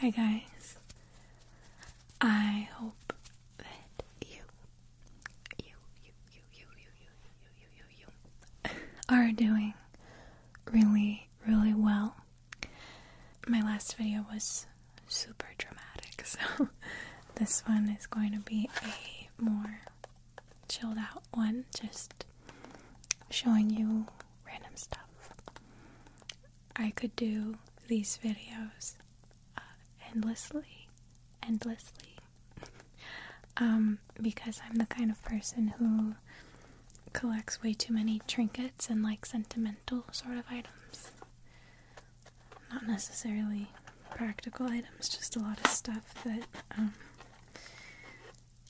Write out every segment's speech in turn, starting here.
Hi, guys. I hope that you, you, you, you, you, you, you, you, you, are doing really, really well. My last video was super dramatic, so this one is going to be a more chilled out one, just showing you random stuff. I could do these videos uh, endlessly, endlessly, um, because I'm the kind of person who collects way too many trinkets and like sentimental sort of items not necessarily practical items, just a lot of stuff that um,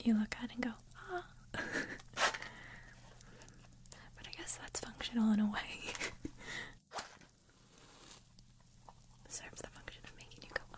you look at and go, ah. but I guess that's functional in a way. Serves the function of making you go, ah.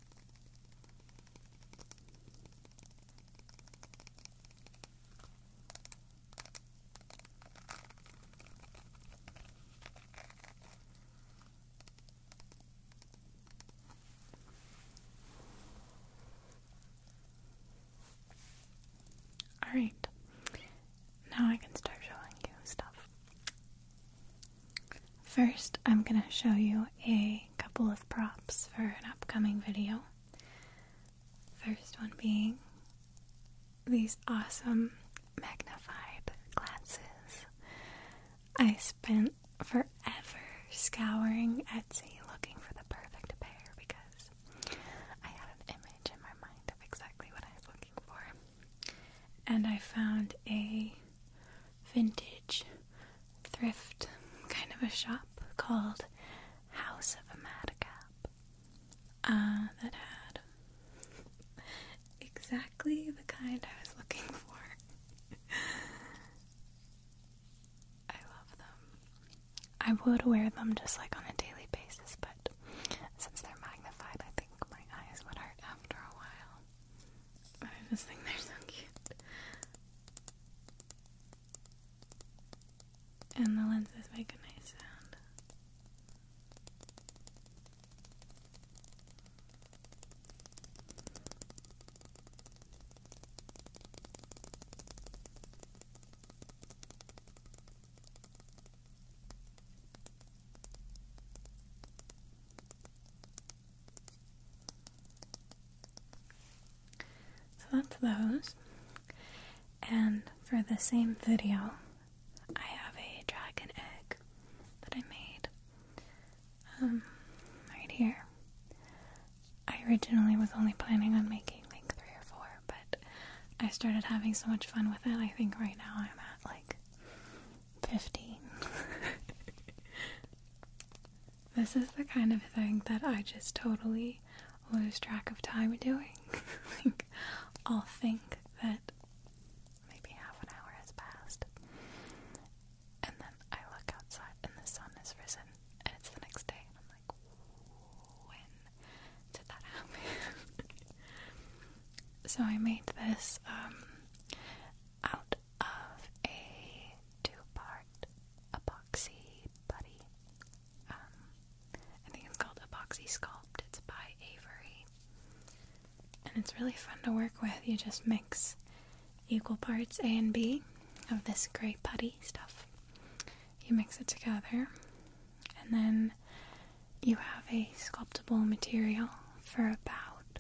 All right. Now I can start showing you stuff. First, I'm going to show you a couple of props for an upcoming video. First one being these awesome magnified glasses. I spent forever scouring Etsy looking for the perfect pair because I had an image in my mind of exactly what I was looking for. And I found a vintage thrift kind of a shop called House of a Madcap uh, that had exactly the kind I was looking for. I love them. I would wear them just like on a daily basis, but since they're magnified, I think my eyes would hurt after a while. I just think they're so cute. And the lenses make a nice sound. So that's those. And for the same video, I have a dragon egg that I made um, right here. I originally was only planning on making like three or four, but I started having so much fun with it. I think right now I'm at like 15. This is the kind of thing that I just totally lose track of time doing. I'll think that maybe half an hour has passed, and then I look outside and the sun has risen, and it's the next day, and I'm like, when did that happen? so I made this um, out of a two-part epoxy putty. Um, I think it's called Epoxy Sculpt. It's by Avery. And it's really fun to work with. You just mix equal parts A and B of this gray putty stuff. You mix it together, and then you have a sculptable material for about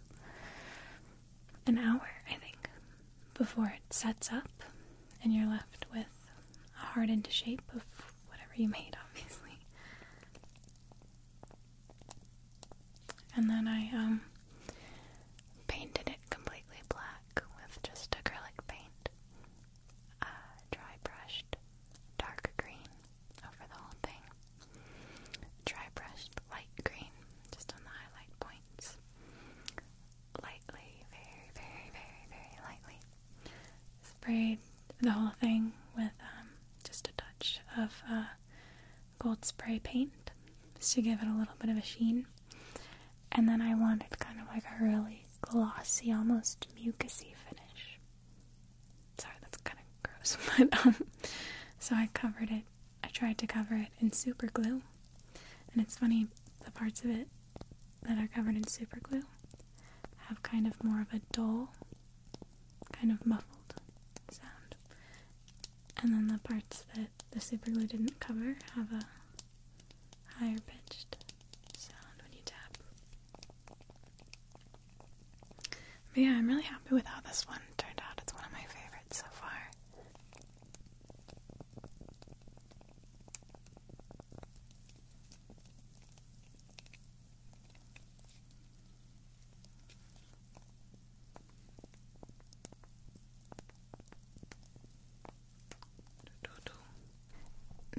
an hour, I think, before it sets up and you're left with a hardened shape of whatever you made, obviously. And then I um, painted it completely black with just acrylic paint, uh, dry brushed dark green over the whole thing, dry brushed light green just on the highlight point. Lightly, very, very, very, very lightly. Sprayed the whole thing with um, just a touch of uh, gold spray paint just to give it a little bit of a sheen. And then I wanted kind of like a really glossy, almost mucousy finish. Sorry, that's kind of gross, but um, so I covered it I tried to cover it in super glue. And it's funny, the parts of it that are covered in super glue have kind of more of a dull, kind of muffled sound. And then the parts that the super glue didn't cover have a higher pitched sound when you tap. But yeah, I'm really happy with how this one turned out. It's one of my favorites so far.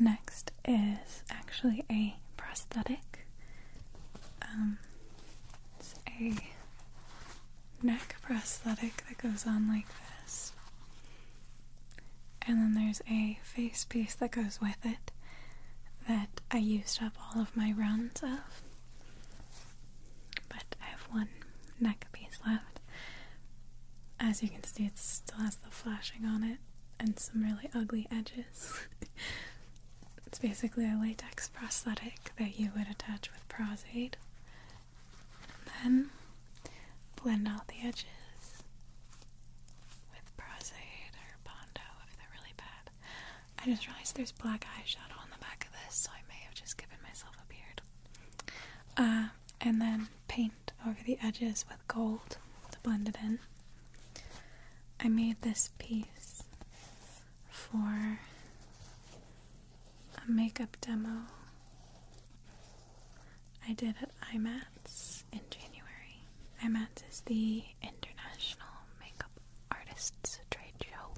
Next is actually a prosthetic. Um, it's a neck prosthetic that goes on like this. And then there's a face piece that goes with it that I used up all of my rounds of. But I have one neck piece left. As you can see, it still has the flashing on it and some really ugly edges. it's basically a latex prosthetic that you would attach with Prosaid then blend out the edges with Prosade or Bondo if they're really bad. I just realized there's black eyeshadow on the back of this, so I may have just given myself a beard. Uh, and then paint over the edges with gold to blend it in. I made this piece for a makeup demo I did at IMATS in January. IMATS is the International Makeup Artists Trade Show.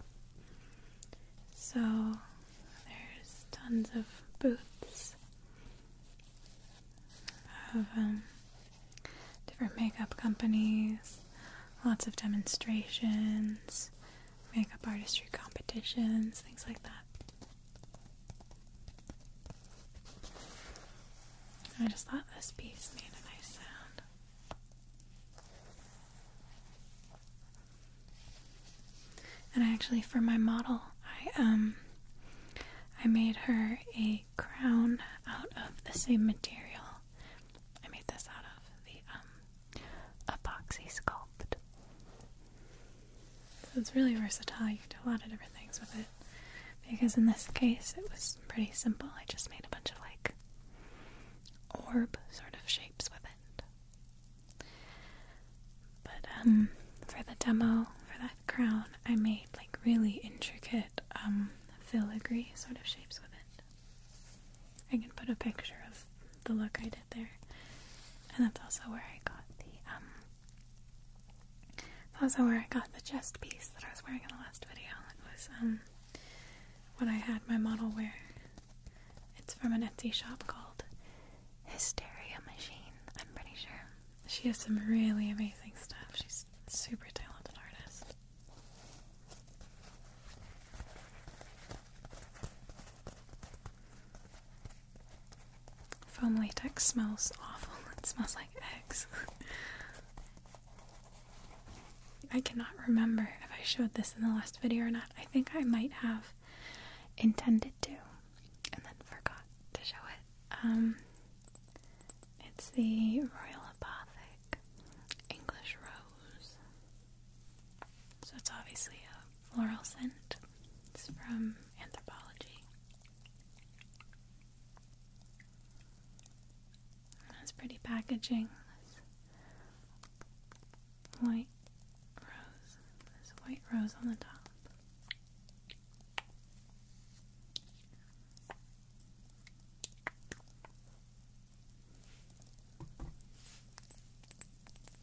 So there's tons of booths of um, different makeup companies, lots of demonstrations, makeup artistry competitions, things like that. I just thought this piece made a nice sound. And I actually, for my model, I um, I made her a crown out of the same material. I made this out of the um, epoxy sculpt. So it's really versatile. You can do a lot of different things with it. Because in this case, it was pretty simple. I just made a bunch of like orb sort of shapes with it. But um, for the demo, for that crown, I made like really intricate um, filigree sort of shapes with it. I can put a picture of the look I did there. And that's also where I got the, um, also where I got the chest piece that I was wearing in the last video. It was, um, when I had my model wear. It's from an Etsy shop called Hysteria Machine, I'm pretty sure. She has some really amazing stuff. She's super talented artist. Foam latex smells awful. It smells like eggs. I cannot remember if I showed this in the last video or not. I think I might have intended to and then forgot to show it. Um, it's the Royal Apothic English Rose. So it's obviously a floral scent. It's from Anthropology. that's pretty packaging. white rose. This white rose on the top.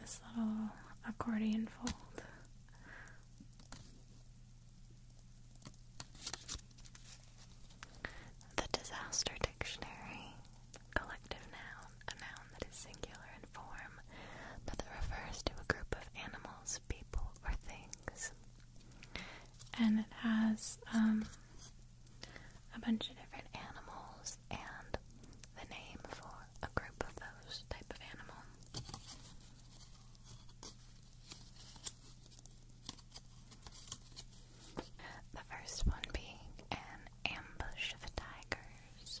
This little accordion fold. The Disaster Dictionary. Collective noun, a noun that is singular in form, but that refers to a group of animals people, or things. And it has um, a bunch of different animals and the name for a group of those type of animals. The first one being an ambush of tigers.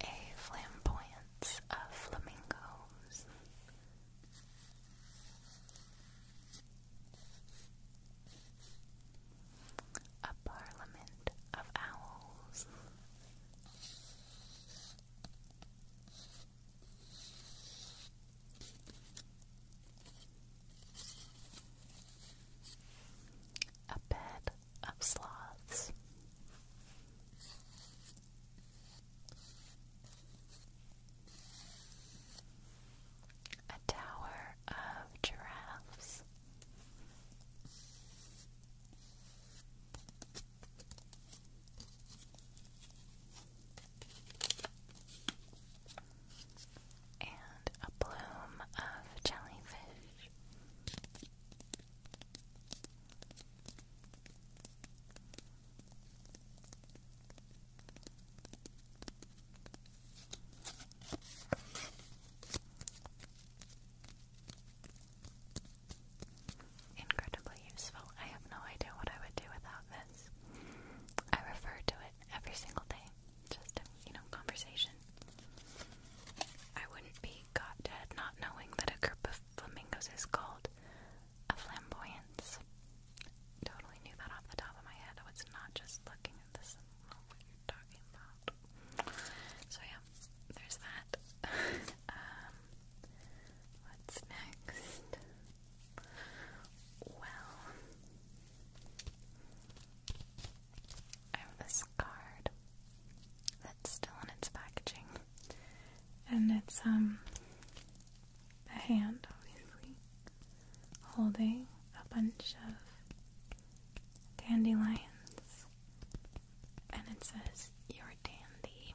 A flamboyance of flamingos. A parliament of owls a bed of sloths. A tower of giraffes. And a bloom of jellyfish. Incredibly useful. I have no idea what I would do without this. I refer to it every single day, just you know, conversation I wouldn't be caught dead not knowing that a group of flamingos is called a flamboyance. Totally knew that off the top of my head. I was not just looking at this and know you talking about. So yeah, there's that. Um, what's next? Well, I have this card. That's still in its packaging. And it's um a hand obviously holding a bunch of dandelions and it says you're dandy.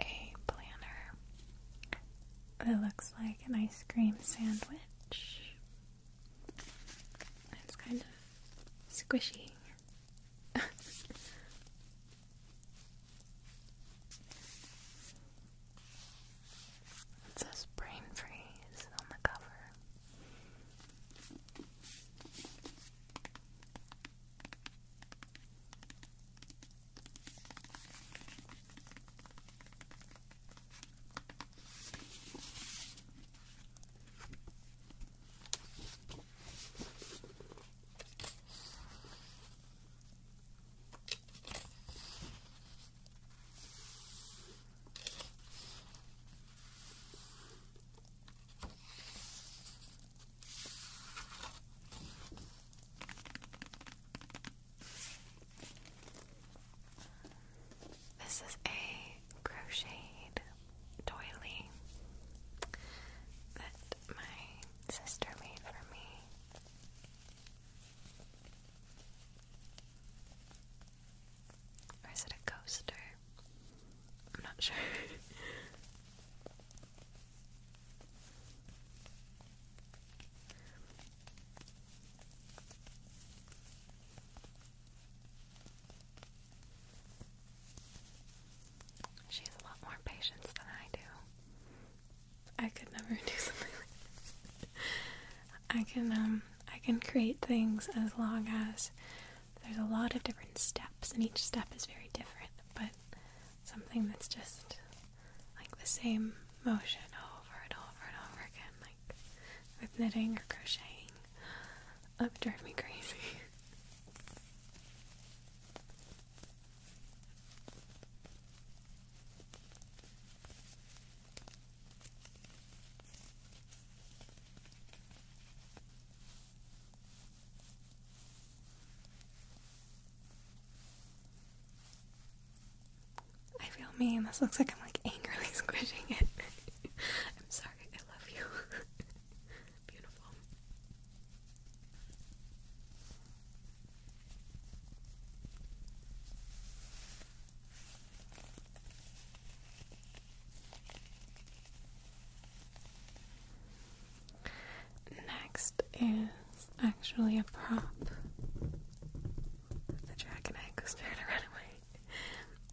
A planner that looks like an ice cream sandwich. It's kind of squishy. It says brain freeze on the cover. This is a crocheted doily that my sister made for me. Or is it a coaster? I'm not sure. she has a lot more patience than I do. I could never do something like I can um, I can create things as long as there's a lot of different steps and each step is very different, but something that's just like the same motion over and over and over again, like with knitting or crocheting. Oh, that would drive me crazy. I feel mean. This looks like I'm like angrily squishing it. I'm sorry. I love you. Beautiful. Next is actually a prop. The dragon egg was there to run away.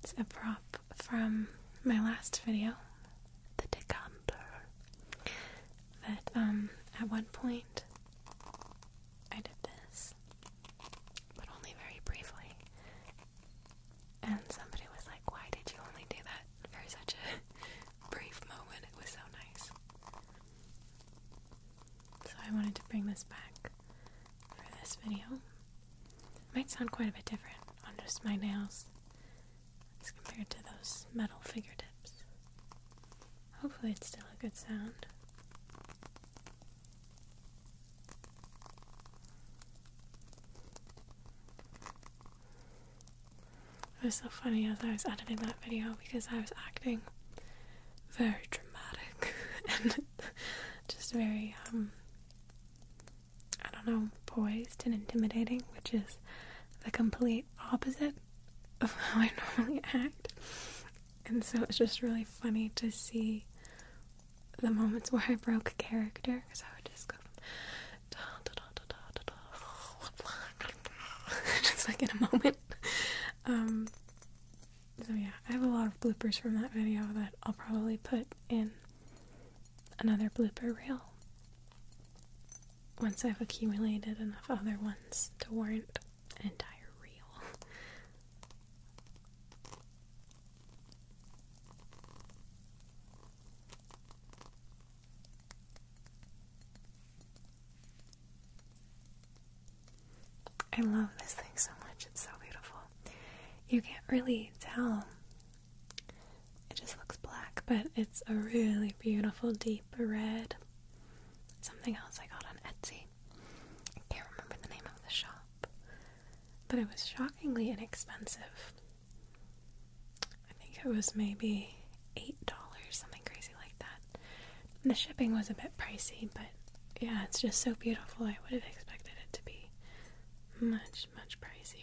It's a prop from my last video, the decanter. That um at one point I did this, but only very briefly. And somebody was like, Why did you only do that for such a brief moment? It was so nice. So I wanted to bring this back for this video. It might sound quite a bit different on just my nails as compared to those metal fingertips. Hopefully, it's still a good sound. It was so funny as I was editing that video because I was acting very dramatic and just very, um, I don't know, poised and intimidating, which is the complete opposite of how I normally act. And so it's just really funny to see the moments where I broke character because I would just go da, da, da, da, da, da, just like in a moment. Um, so yeah, I have a lot of bloopers from that video that I'll probably put in another blooper reel once I've accumulated enough other ones to warrant an entire reel. I love this thing so much. It's so beautiful. You can't really tell. It just looks black, but it's a really beautiful deep red. Something else I got on Etsy. I can't remember the name of the shop, but it was shockingly inexpensive. I think it was maybe $8, something crazy like that. the shipping was a bit pricey, but yeah, it's just so beautiful. I would have expected it to be much, much pricier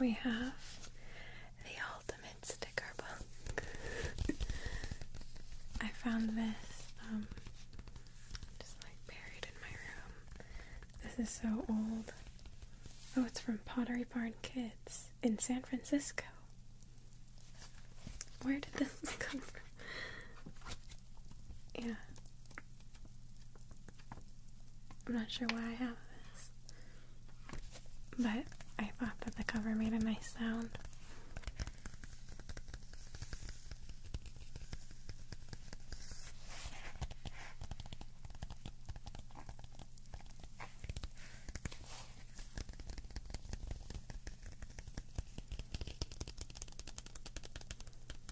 we have the ultimate sticker book. I found this um, just like buried in my room. This is so old. Oh, it's from Pottery Barn Kids in San Francisco. Where did this come from? Yeah. I'm not sure why I have this. But I thought that the cover made a nice sound.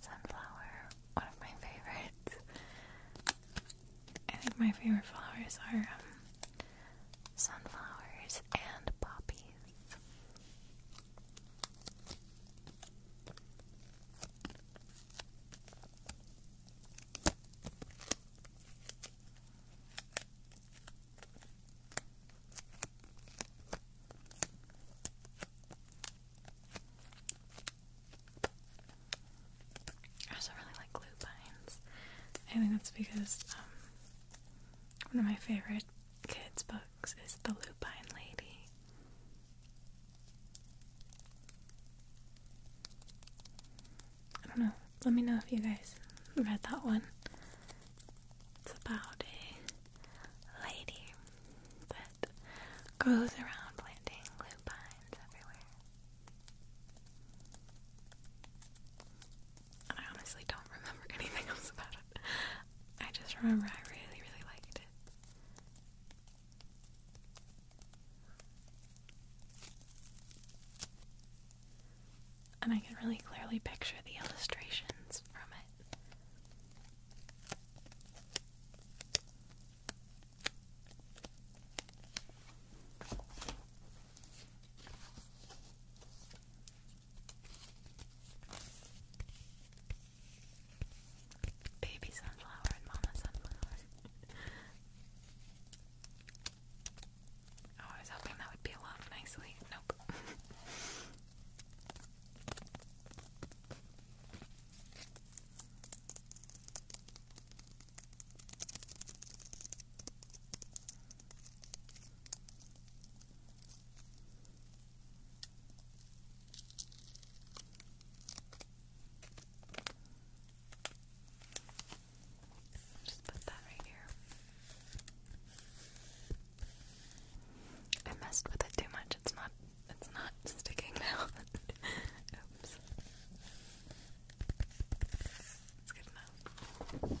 Sunflower, one of my favorites. I think my favorite flowers are um, sunflowers and poppies. I also really like Lupines. I think that's because um, one of my favorite kids' books is The Lupine Lady. I don't know. Let me know if you guys read that one. It's about a lady that goes around planting lupines everywhere. I honestly don't remember anything else about it. I just remember I really, really liked it. And I can really clearly picture the illustrations from it. Baby sunflower and mama sunflower. Oh, I was hoping that would be off nicely. Nope. Just put that right here. I messed with it too much. It's not it's not sticking now. Oops. It's good enough.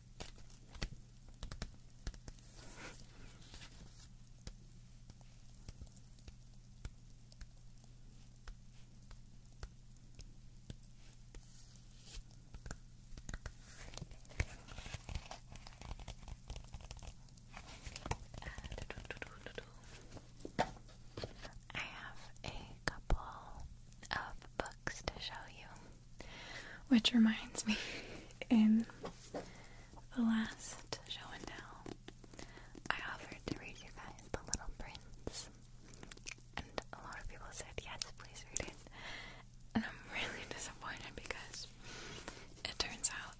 I have a couple of books to show you. Which reminds me, in the last show and tell, I offered to read you guys The Little Prince. And a lot of people said, yes, please read it. And I'm really disappointed because it turns out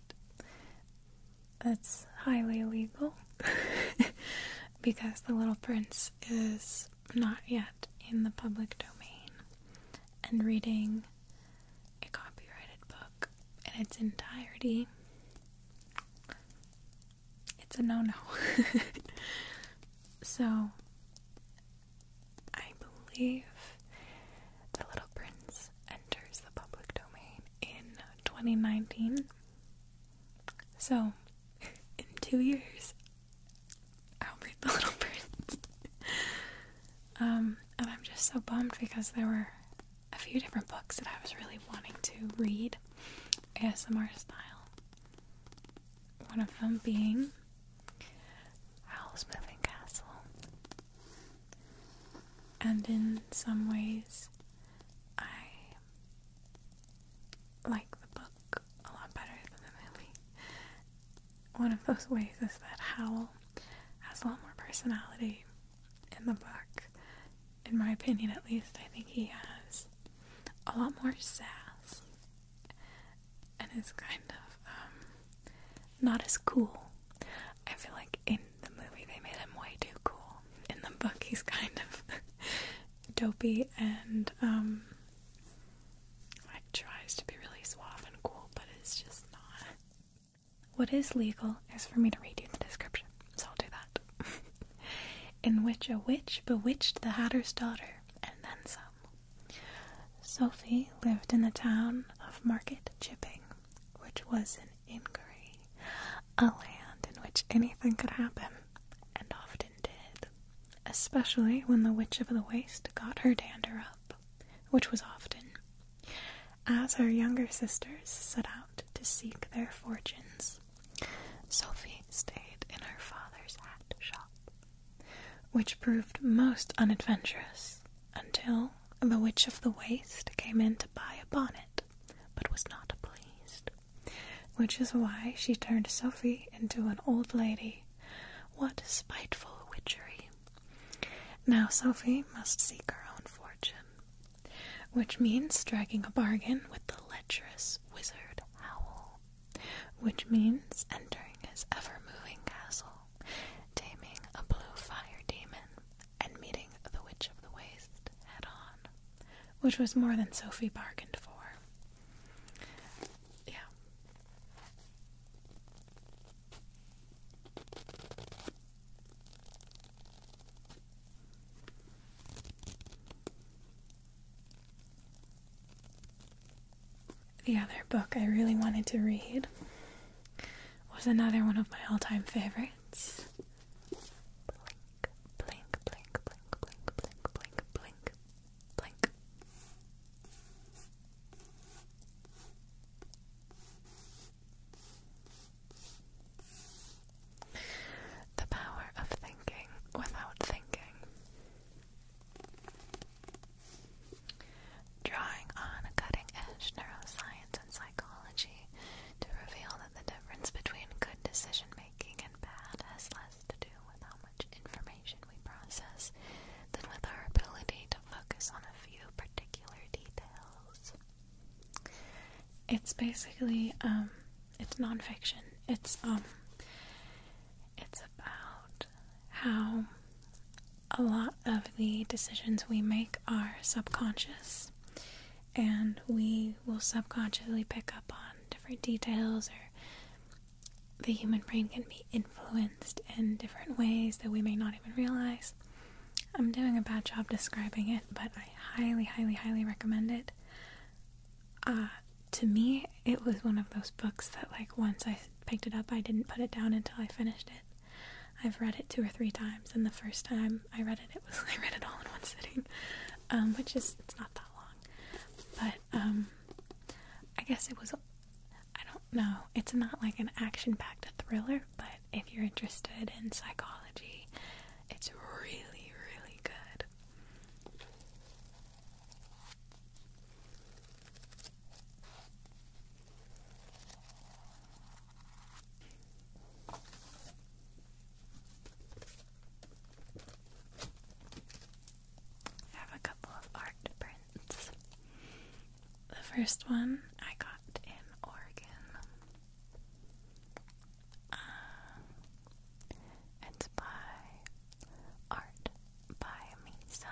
that's highly illegal because The Little Prince is not yet in the public domain. And reading a copyrighted book in its entirety, it's a no no. so, I believe The Little Prince enters the public domain in 2019. So, in two years, I'll read the Little Prince. Um, and I'm just so bummed because there were a few different books that I was really wanting to read ASMR style. One of them being Howl's Moving Castle. And in some ways, I like the book a lot better than the movie one of those ways is that Howl has a lot more personality in the book. In my opinion, at least, I think he has a lot more sass and is kind of um, not as cool. I feel like in the movie they made him way too cool. In the book, he's kind of dopey and um, I tries to be really suave and cool, but it's just not. What is legal is for me to read you the description, so I'll do that. In which a witch bewitched the hatter's daughter, and then some. Sophie lived in the town of Market Chipping, which was an inquiry, a land in which anything could happen, and often did, especially when the Witch of the Waste got her dander up which was often, as her younger sisters set out to seek their fortunes. Sophie stayed in her father's hat shop, which proved most unadventurous until the Witch of the Waste came in to buy a bonnet, but was not pleased, which is why she turned Sophie into an old lady. What spiteful witchery! Now Sophie must seek her own fortune, which means striking a bargain with the lecherous wizard Howl, which means entering his ever moving castle, taming a blue fire demon, and meeting the Witch of the Waste head on, which was more than Sophie bargained for. Yeah. The other book I really wanted to read was another one of my all time favorites. Blink, blink, blink, blink, blink, blink, blink, blink, blink. The power of thinking without thinking. Drawing on cutting edge neuroscience and psychology to reveal that the difference between good decision making and bad has less to do with how much information we process than with our ability to focus on a few particular details. It's basically um, it's nonfiction. It's um, it's about how a lot of the decisions we make are subconscious and we will subconsciously pick up on different details or the human brain can be influenced in different ways that we may not even realize. I'm doing a bad job describing it, but I highly, highly, highly recommend it. Uh, to me, it was one of those books that, like, once I picked it up, I didn't put it down until I finished it. I've read it two or three times, and the first time I read it, it was I read it all in one sitting, um, which is it's not that long, but um, I guess it was I don't know. It's not like an action packed thriller, but if you're interested in psychology, it's really, really good. I have a couple of art prints. The first one I got in Oregon. Uh, it's by Art by Misa.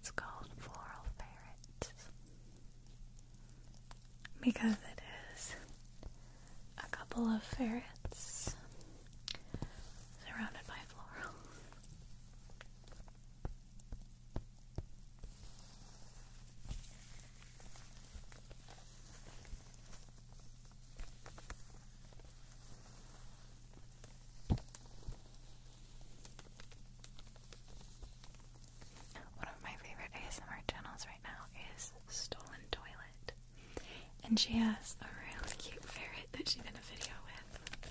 It's called Floral Ferrets because it is a couple of ferrets surrounded by florals. One of my favorite ASMR channels right now is Stolen Toilet, and she has a really cute ferret that she did a video with.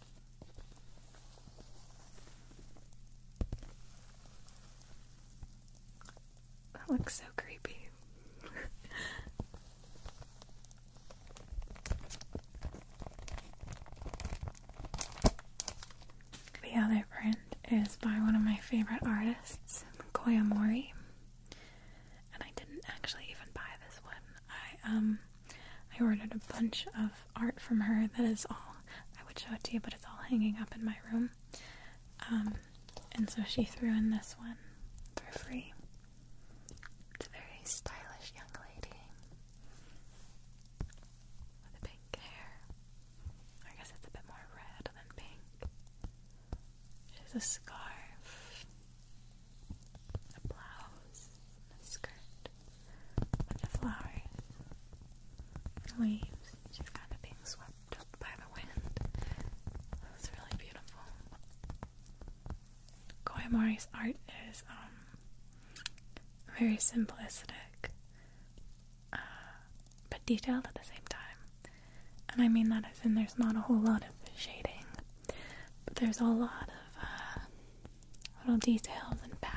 That looks so creepy. the other print is by one of my favorite artists, Mori, And I didn't actually even buy this one. I um I ordered a bunch of art from her that is all I would show it to you, but it's all hanging up in my room. Um and so she threw in this one for free. It's a very stylish young lady with pink hair. I guess it's a bit more red than pink. She has a scarf a blouse, a skirt, and the flowers, the leaves, just kind of being swept by the wind. It's really beautiful. Koyamori's art is um, very simplistic, uh, but detailed at the same time. And I mean that as in there's not a whole lot of shading, but there's a lot of uh, little details and patterns.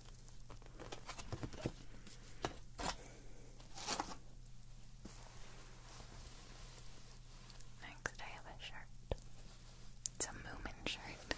Next, I have a shirt. It's a Moomin shirt.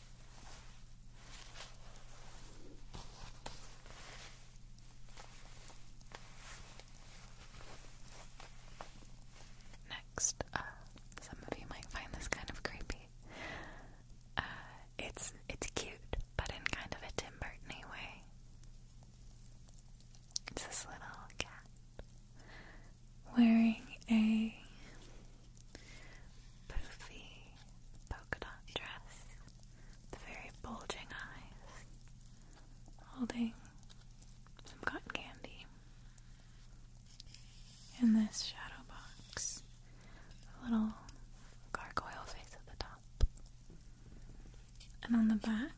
Next, uh, some of you might find this kind of creepy. Uh, it's it's cute, but in kind of a Tim Burton way. It's this little cat wearing a poofy polka dot dress, the very bulging eyes, holding some cotton candy. In this shadow box, a little gargoyle face at the top. And on the back,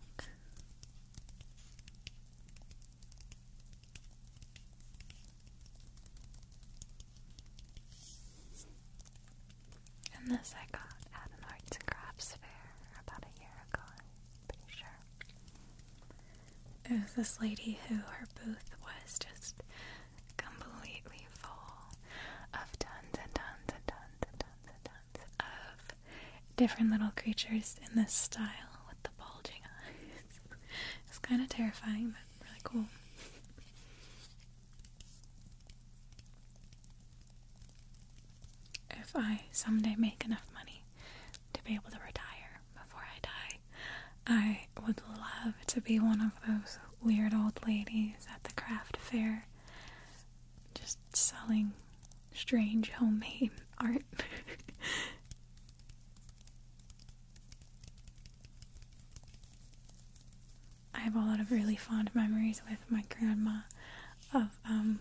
and this I got at an arts and crafts fair about a year ago, pretty sure. It was this lady who her booth was just completely full of tons and tons and tons and tons and tons of different little creatures in this style with the bulging eyes. it's kind of terrifying, but really cool. If I someday make enough money to be able to retire before I die, I would love to be one of those weird old ladies at the craft fair just selling strange homemade art. I have a lot of really fond memories with my grandma of um,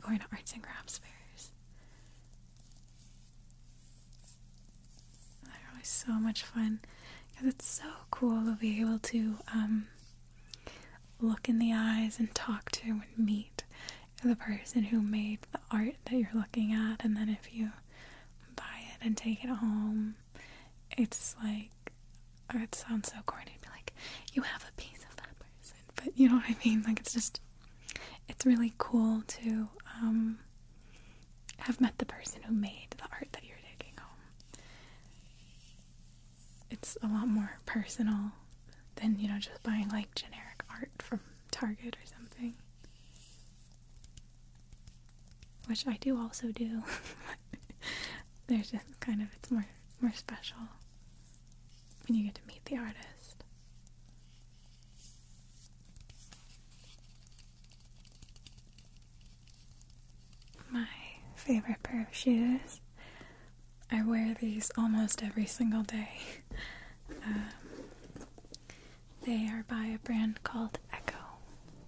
going to arts and crafts fairs. They're always so much fun because it's so cool to be able to um, look in the eyes and talk to and meet the person who made the art that you're looking at, and then if you buy it and take it home it's like, or oh, it sounds so corny to be like, you have a piece of that person, but you know what I mean? Like, it's just, it's really cool to um, have met the person who made the art that you're taking home. It's a lot more personal than, you know, just buying like generic art from Target or something which I do also do. There's just kind of it's more more special when you get to meet the artist. My favorite pair of shoes. I wear these almost every single day. Um, they are by a brand called Echo.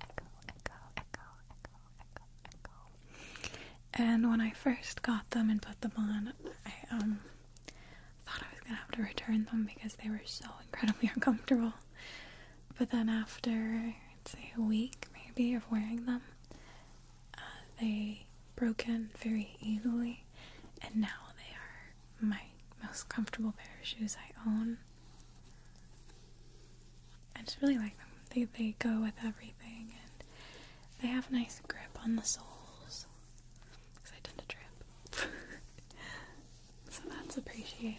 Echo, Echo, Echo, Echo, Echo, Echo. And when I first got them and put them on, I um thought I was gonna have to return them because they were so incredibly uncomfortable. But then after I'd say a week maybe of wearing them, uh, they broke in very easily, and now they are my most comfortable pair of shoes I own. I just really like them. They they go with everything, and they have a nice grip on the soles because I tend to trip, so that's appreciated.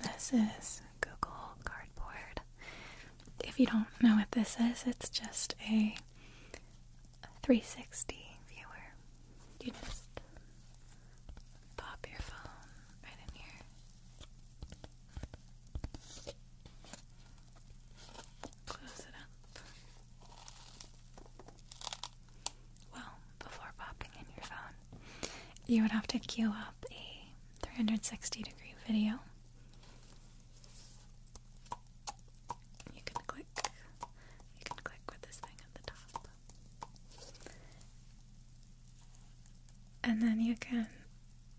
This is Google Cardboard. If you don't know what this is, it's just a 360 viewer, you just pop your phone right in here. Close it up. Well, before popping in your phone, you would have to queue up a 360 degree video you can click. You can click with this thing at the top. And then you can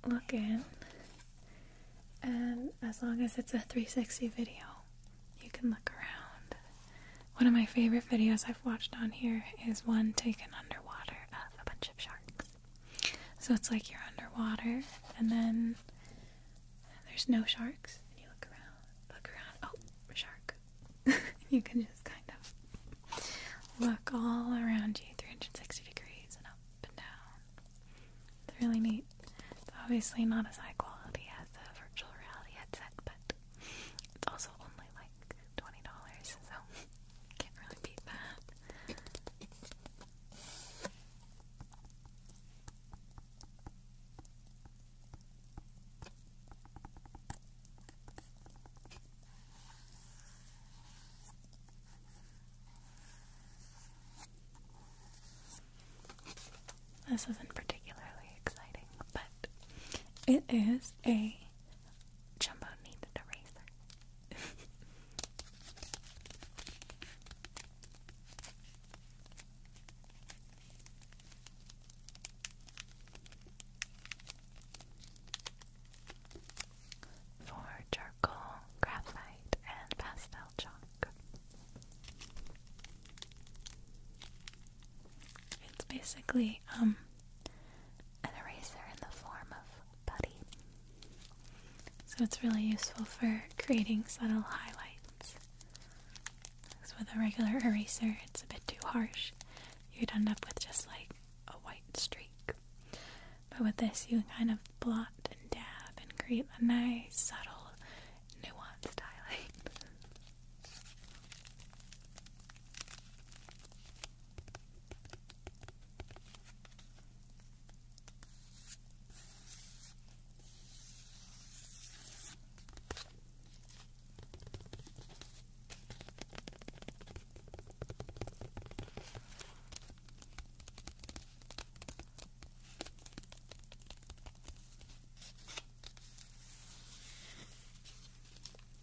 look in, and as long as it's a 360 video, you can look around. One of my favorite videos I've watched on here is one taken underwater of a bunch of sharks. So it's like you're underwater, and then there's no sharks. And you look around, look around. Oh, shark. you can just kind of look all around you 360 degrees and up and down. It's really neat. It's obviously not as high quality as a virtual reality headset, but it's also only like $20, so can't really beat that. This isn't particularly exciting, but it is a jumbo needed eraser. for charcoal, graphite, and pastel chalk. It's basically um, an eraser in the form of putty. So it's really useful for creating subtle highlights. Because with a regular eraser, it's a bit too harsh. You'd end up with just like a white streak. But with this, you can kind of blot and dab and create a nice, subtle, nuanced highlight.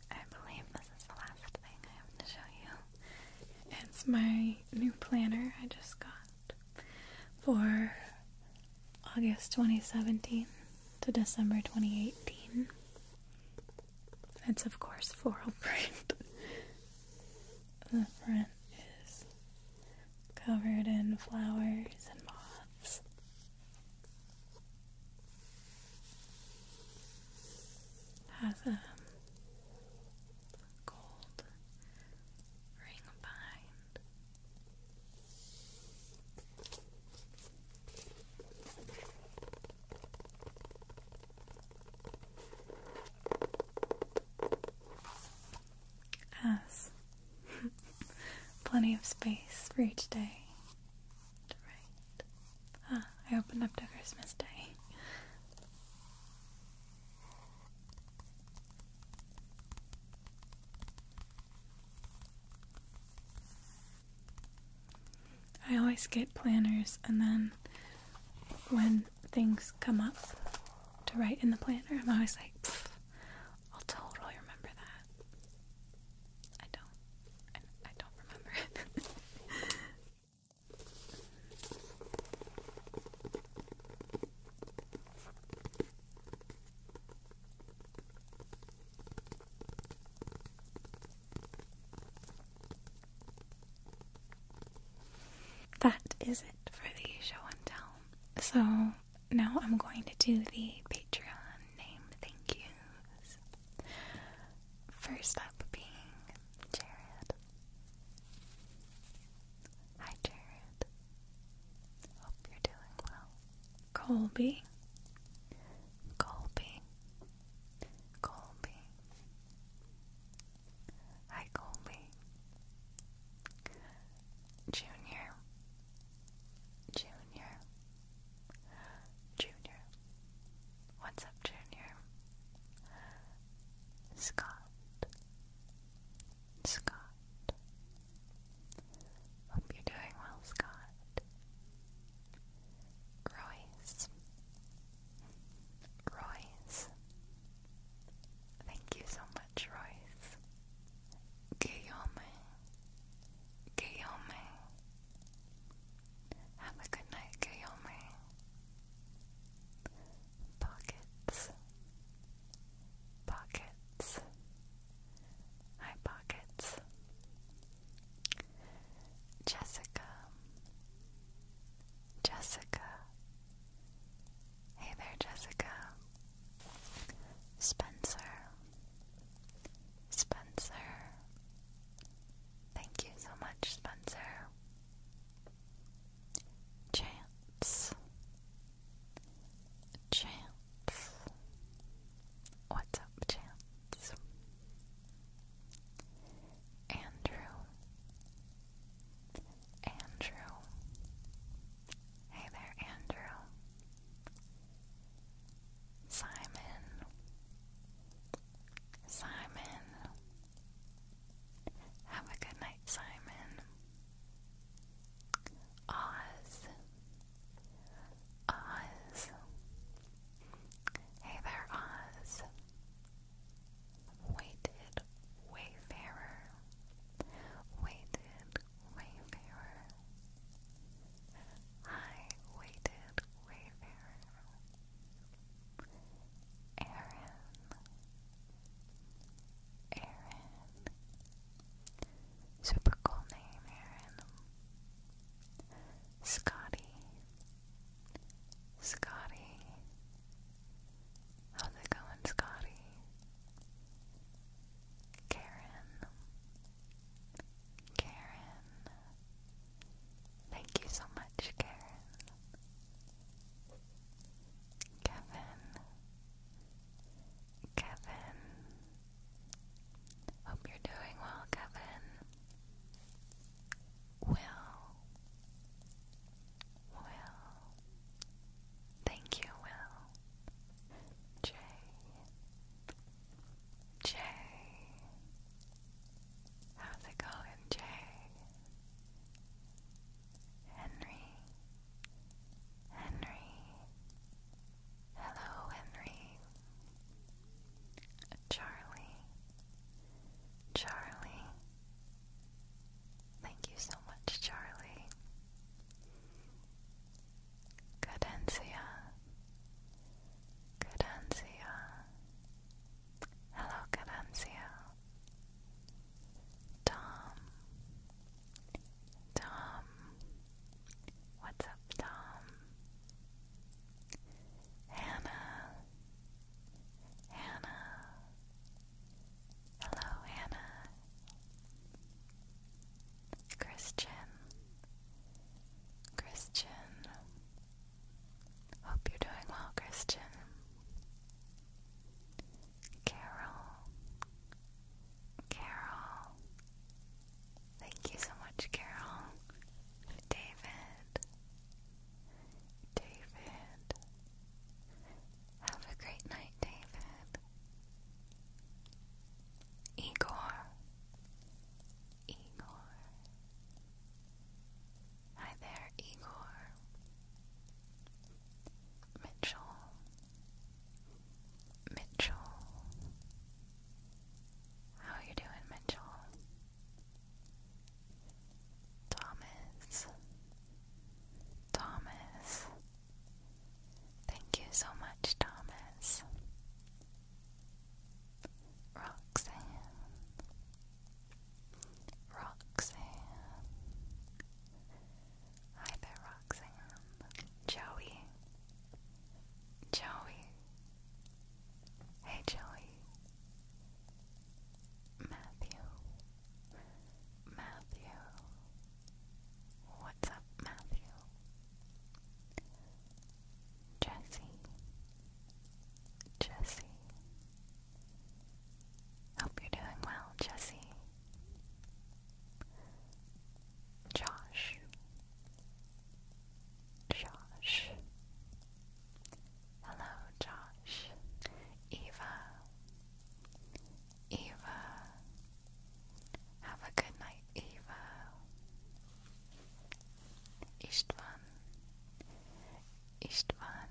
I believe this is the last thing I have to show you. It's my new planner I just got for August 2017 to December 2018. It's, of course, floral print. the front is covered in flowers and moss. Has a gold ring behind as plenty of space for each day to write. Ah, I opened up to Christmas Day. I always get planners, and then when things come up to write in the planner, I'm always like, I'll totally remember that. I don't. I, don't remember it. That is it for the show and tell. So now I'm going to do the Patreon name thank yous. First up being Jared. Hi, Jared. Hope you're doing well. Colby. Colby. Colby. Hi, Colby. Junior. Junior. Junior. What's up, Junior? Scott. Scott. Hope you're doing well, Scott. Royce. Royce. Thank you so much, Royce. Guillaume. Guillaume. Have a good night, Guillaume. Pockets. Pockets. Hi, Pockets. Jessica. Jessica. Hey there, Jessica. Spencer. Spencer. Thank you so much, Spencer. Chance. Chance. What's up, Chance? Andrew. Andrew. Hey there, Andrew. Simon. Simon. Have a good night, Simon. Oz. Oz. Hey there, Oz. Weighted Wayfarer. Weighted Wayfarer. Hi, Weighted Wayfarer. Aaron. Aaron. Super cool name, Aaron. Scotty. Scotty. How's it going, Scotty? Karen. Karen. Thank you so much, Karen. Kevin. Kevin. Hope you're doing well, Kevin. Will. Will. Thank you, Will. Jay. Jay. How's it going, Jay? Henry. Henry. Hello, Henry. Charlie. Charlie. Thank you so much, Charlie. Cadencia. Cadencia. Hello, Cadencia. Tom. Tom. What's up, Tom? Hannah. Hannah. Hello, Hannah. Christian. Christian. Hope you're doing well, Christian. Carol. Carol. Thank you so much, Carol. David. David. Have a great night, David. Igor. Igor. Hi there, Igor. Mitchell. Mitchell. How you doing, Mitchell? Thomas. Thomas. Thank you so much, Thomas. Roxanne. Roxanne. Hi there, Roxanne. Joey. Joey. Hey, Joey. Matthew. Matthew. What's up, Matthew? Jesse. Jesse. Hope you're doing well, Jesse. Josh, Josh, hello, Josh, Eva, Eva, have a good night, Eva, Istvan, Istvan,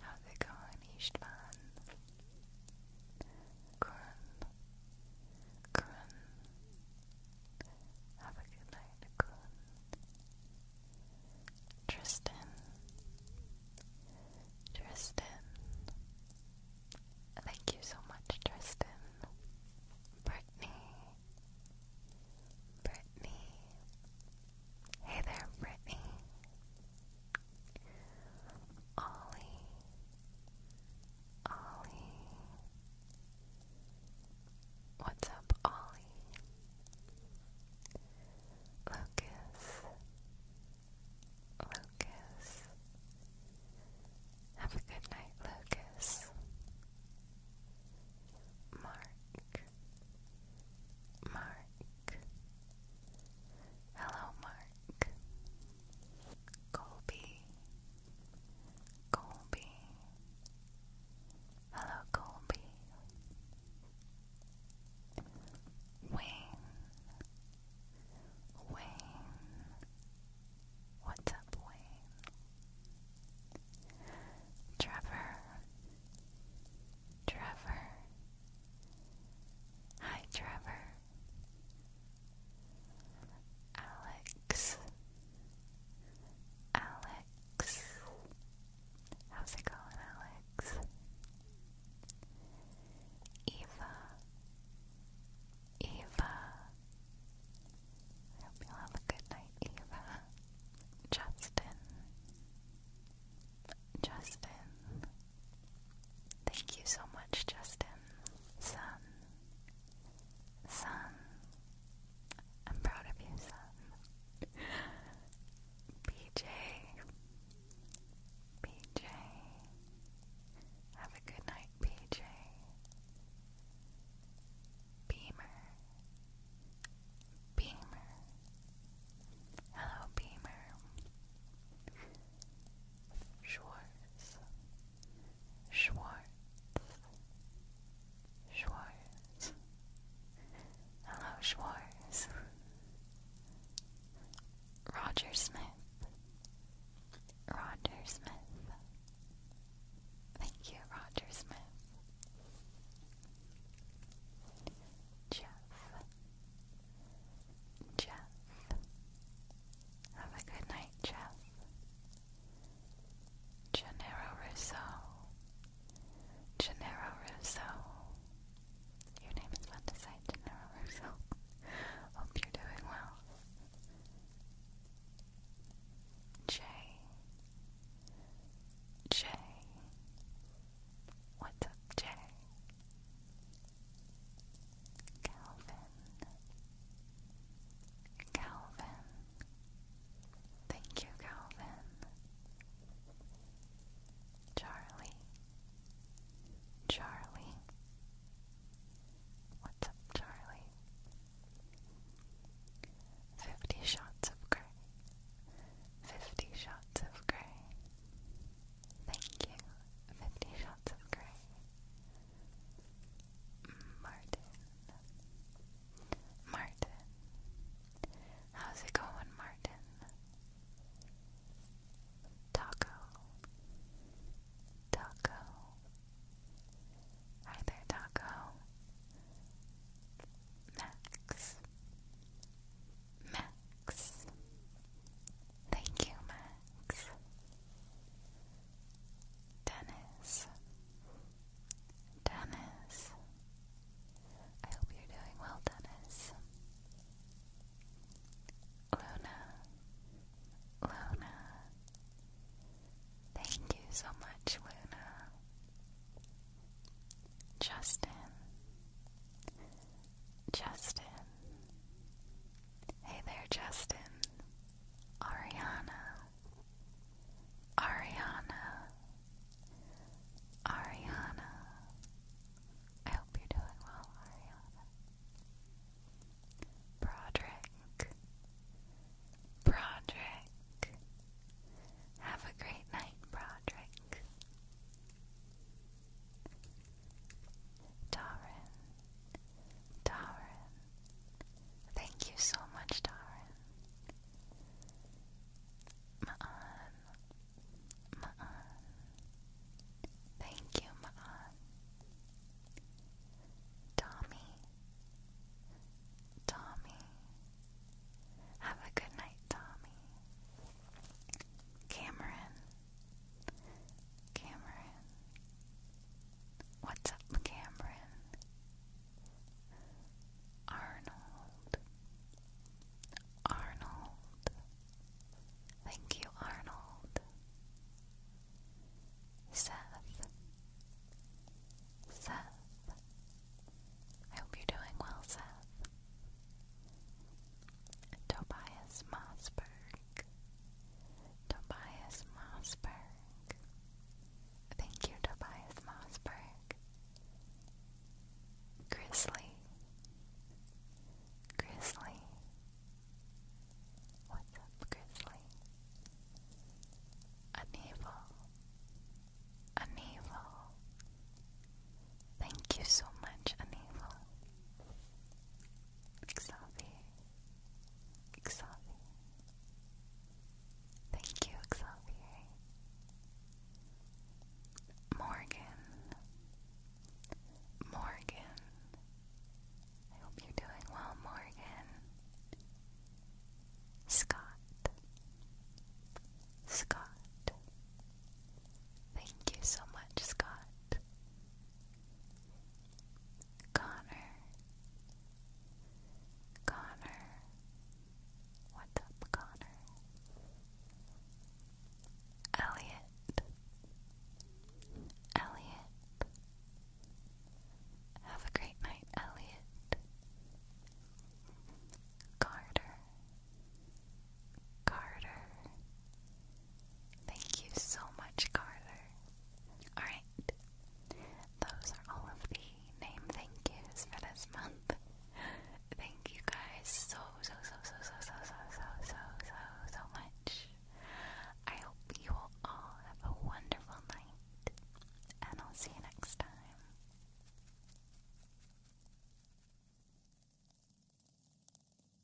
how's it going, Istvan? Curran, Curran. Have a good night, Curran. Tristan, Tristan. Thank you so much, Tristan. Brittany, Brittany. Hey there, Brittany. Ollie, Ollie. What's up, Ollie? Lucas, Lucas. Have a good night, Lucas. Mark, Mark. Hello, Mark. Colby. Colby. Hello, Colby. Wayne. Wayne. What's up, Wayne? Trevor. Trevor. Hi, Trevor. Alex. Alex. How's it going, Alex? Eva. Eva. I hope you have a good night, Eva. Justin. Justin. Thank you so much, Justin. Son. Son. I'm proud of you, son. PJ. PJ. Have a good night, PJ. Beamer. Beamer. Hello, Beamer. Schwartz, Schwartz, Schwartz. Hello, Schwartz. Roger Smith, Roger Smith. Thank you, Roger Smith. Jeff, Jeff. Have a good night, Jeff. Gennaro Russo. Your name is fun to say, Gennaro Hope you're doing well. Jay. Jay. What's up, Jay? Calvin. Calvin. Thank you, Calvin. Charlie. Charlie. What's up, Charlie? Fifty shots of grey. Fifty shots of grey. Thank you. Fifty Shots of Grey. Martin. Martin. How's it going, Martin? Taco. Taco. Hi there, Taco. Max. Max. Thank you, Max. Dennis. Dennis. I hope you're doing well, Dennis. Luna. Luna. Thank you so much, Luna. Justin. Justin. Hey there, Justin. Ariana. Ariana. Ariana. I hope you're doing well, Ariana. Broderick. Broderick. Have a great night, Broderick. Darren, Darren, thank you so much, Darren. Ma'an, Ma'an, thank you, Ma'an. Tommy, Tommy, have a good night, Tommy. Cameron, Cameron. What's up, Cameron? Arnold. Arnold. Thank you, Arnold. Seth. Seth. I hope you're doing well, Seth. Tobias Mossberg. Tobias Mossberg. Thank you, Tobias Mossberg. Grizzly. Grizzly. What's up, Grizzly? Uneval. Uneval. Thank you so much, Uneval. Xavi, Xavi. Thank you, Xavier. Morgan, Morgan. I hope you're doing well, Morgan. Scott, Scott. Thank you so much, Scott. Connor. Connor. What's up, Connor? Elliot. Elliot. Have a great night, Elliot. Carter. Carter. Thank you so much, Carter. Alright, those are all of the name thank yous for this month. Thank you guys so, so, so, so, so, so, so, so, so, so, so much. I hope you all have a wonderful night, and I'll see you next time.